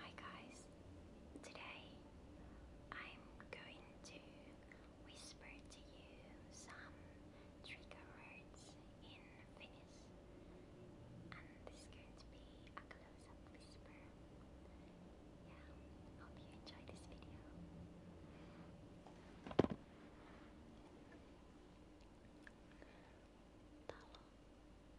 Hi guys, today I'm going to whisper to you some trigger words in Finnish and this is going to be a close-up whisper. Yeah, hope you enjoy this video. Talo.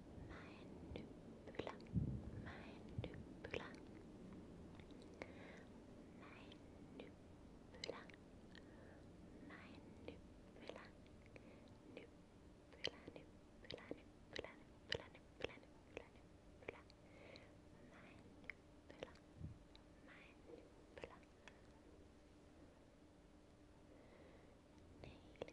Mandibula, mandibula, mandibula, mandibula, nubula, nubula, nubula, nubula, nubula, nubula, nubula, mandibula, mandibula. Nail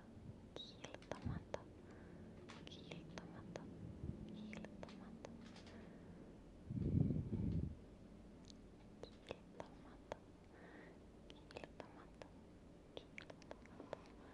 kiiltämättä, kiiltämättä, kiiltämättä, kiiltämättä, kiiltämättä, kiiltämättä, talo, talo, talo, äidinkieli, äidinkieli, äidinkieli,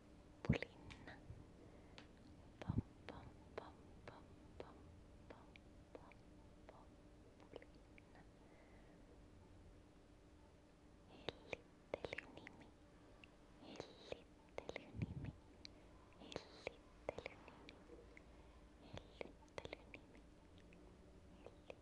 Pulina. Pom pom pom pom pom pom pom pom Pulina. Elittelynimi. Elittelynimi. Elittelynimi. Elittelynimi. Elittelynimi.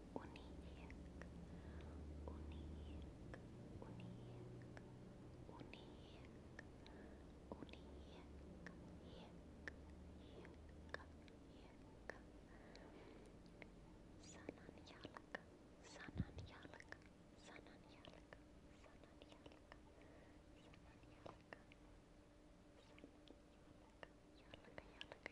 unique, unique, unique, unique, unique, unique, unique. Sanan yalak, sanan yalak, sanan yalak, sanan yalak, sanan yalak, sanan yalak, yalak, yalak.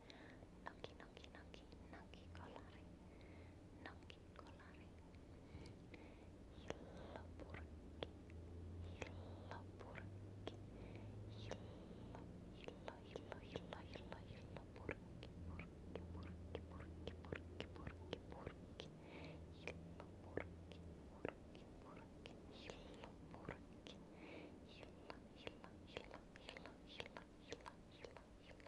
Nocchi, nocchi, nocchi, nocchi collare. Nocchi collare. Il burki. Il burki. Il illo, illo, illo, illo, burki, burki, burki, burki, burki, burki, burki. burki, burki, burki, illo burki. Illo, illo, illo, illo, illo, illo,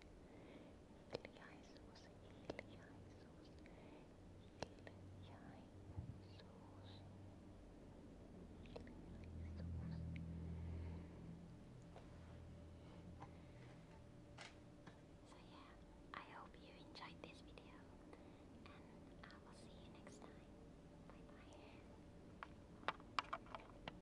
İlyaysuz, So yeah, I hope you enjoyed this video and I will see you next time. Bye bye.